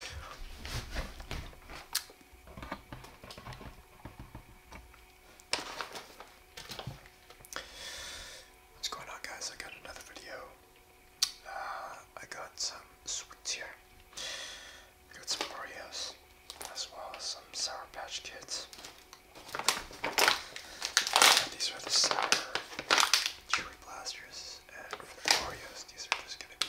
What's going on guys? I got another video. Uh, I got some sweets here. I got some Oreos as well as some Sour Patch Kids. These are the sour cherry blasters and for the Oreos these are just gonna be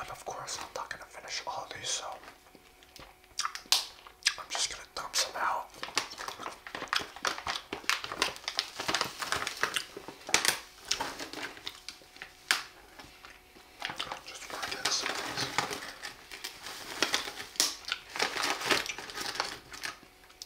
And of course, I'm not going to finish all of these, so I'm just going to dump some out. Just work in some of these.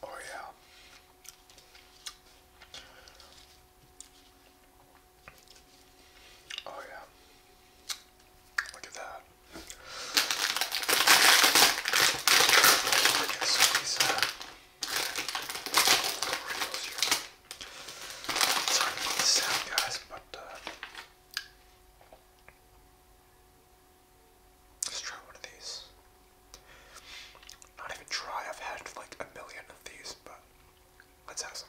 Oh, yeah. Oh, yeah. Look at that. Sorry about the sound, guys, but let's try one of these. Not even try, I've had like a million of these, but let's have some.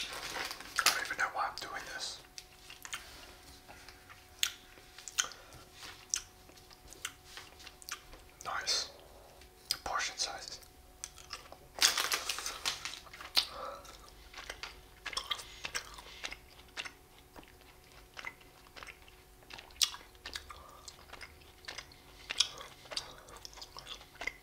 I don't even know why I'm doing this. Nice. portion sizes.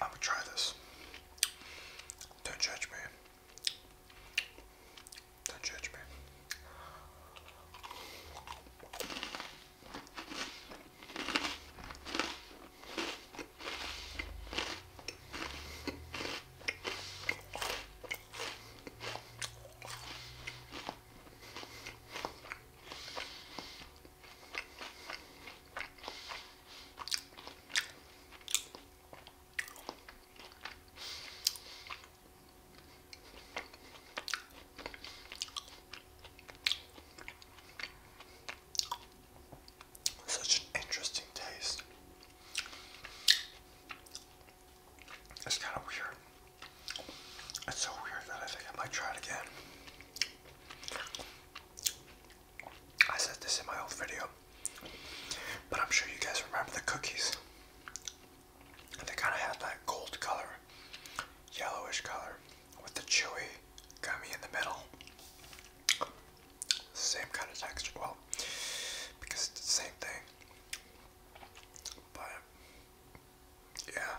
I am gonna try this. Don't judge me. Don't judge me. Such an interesting taste. It's kind of weird. It's so weird that I think I might try it again. I said this in my old video, but I'm sure you guys remember the cookies. They kind of had that gold color, yellowish color, with the chewy gummy in the middle. Same kind of texture, well, because it's the same thing. But, yeah.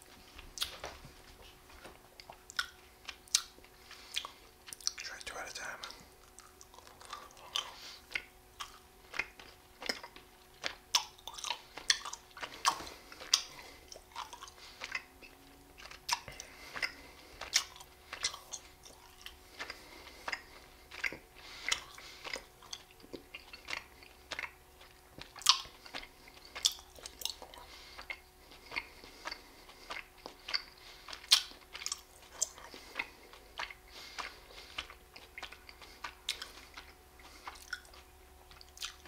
Try two at a time.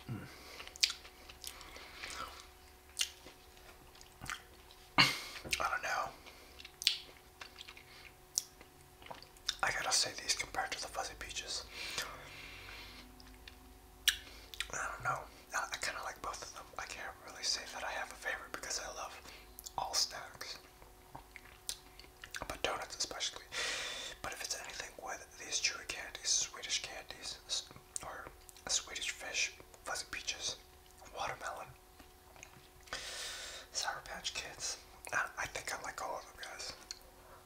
Mm. I don't know. I gotta say these compared to the fuzzy peaches. I don't know. I, kind of like both of them. I can't really say that I have a favorite because I love all snacks, but donuts especially. But if it's anything with these chewy candies, Swedish candies, or Swedish fish, fuzzy peaches, watermelon, Sour Patch Kids, I think I like all of them, guys.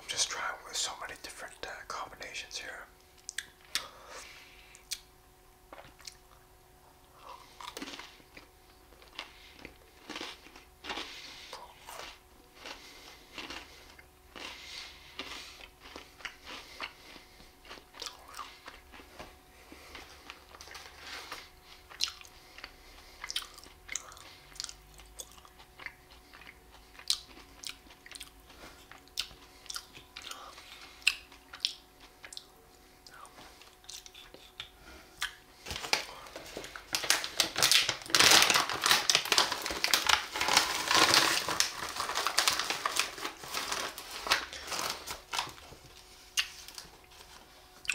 I'm just trying with so many different uh, combinations here.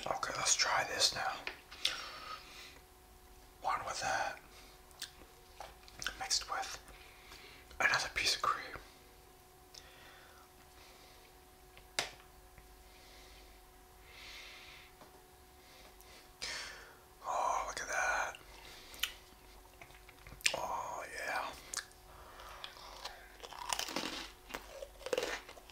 Okay, let's try this now one with that mixed with another piece of cream. Oh, look at that. Oh, yeah.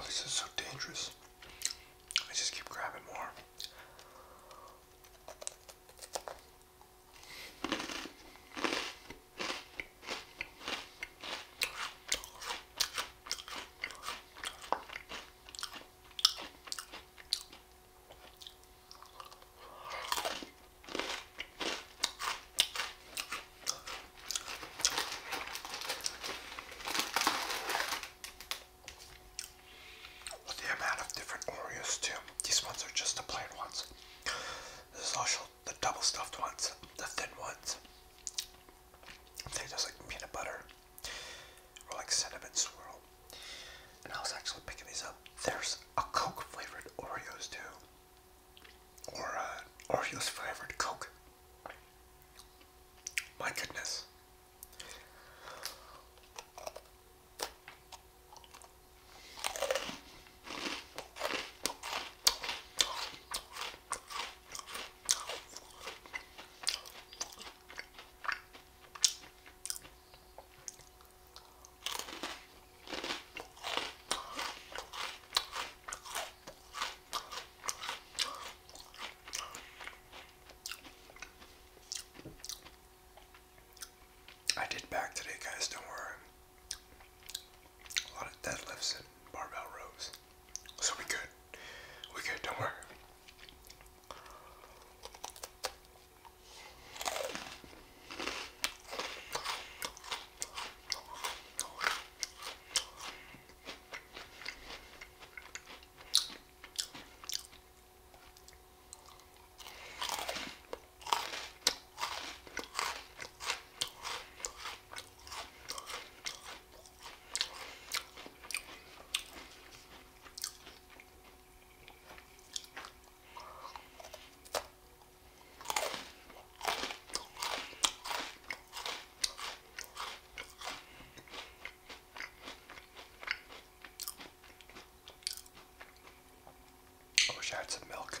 Oh, this is so dangerous. I just keep grabbing more. The amount of different Oreos too. These ones are just the plain ones. This is also the double stuffed ones, the thin ones. They just like peanut butter or like cinnamon swirl. And I was actually picking these up. There's a Coke flavored Oreos too, or uh, Oreos flavored Coke. My goodness. I did back today, guys, don't worry. A lot of deadlifts and barbell rows. So we good. We good, don't worry. I wish I had some milk.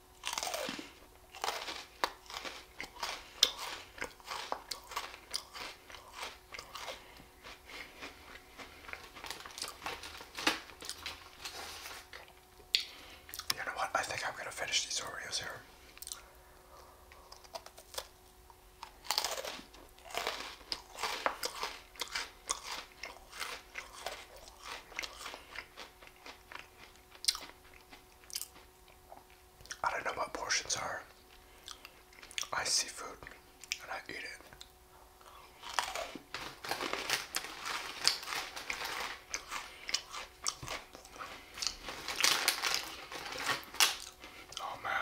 You know what? I think I'm going to finish these Oreos here. I don't know what portions are. I see food and I eat it. Oh man.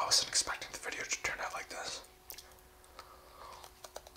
I wasn't expecting the video to turn out like this.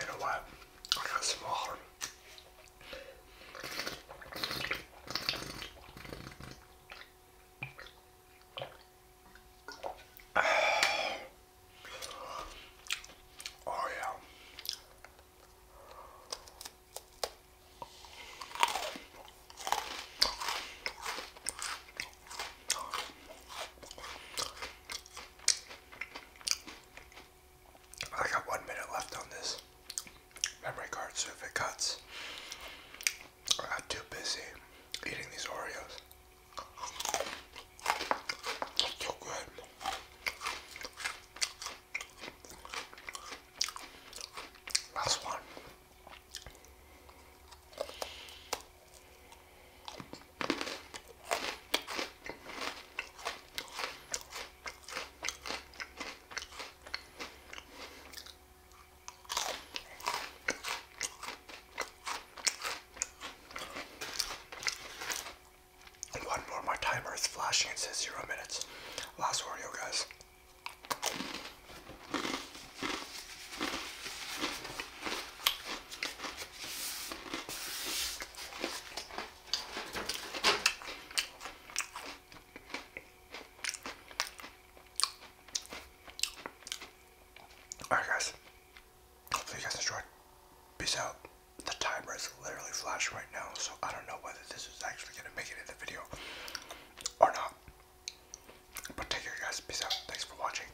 You know what? I got smaller. Oh yeah. I got one minute left on this memory card, so if it cuts, I got too busy eating these Oreos. so good. Last one. One more, my timer is flashing. and says zero minutes. Last Oreo, guys. Alright, guys. Hopefully, you guys enjoyed. Peace out. The timer is literally flashing right now, so I don't know whether this is actually going to make it in the video or not. But take care, guys. Peace out. Thanks for watching.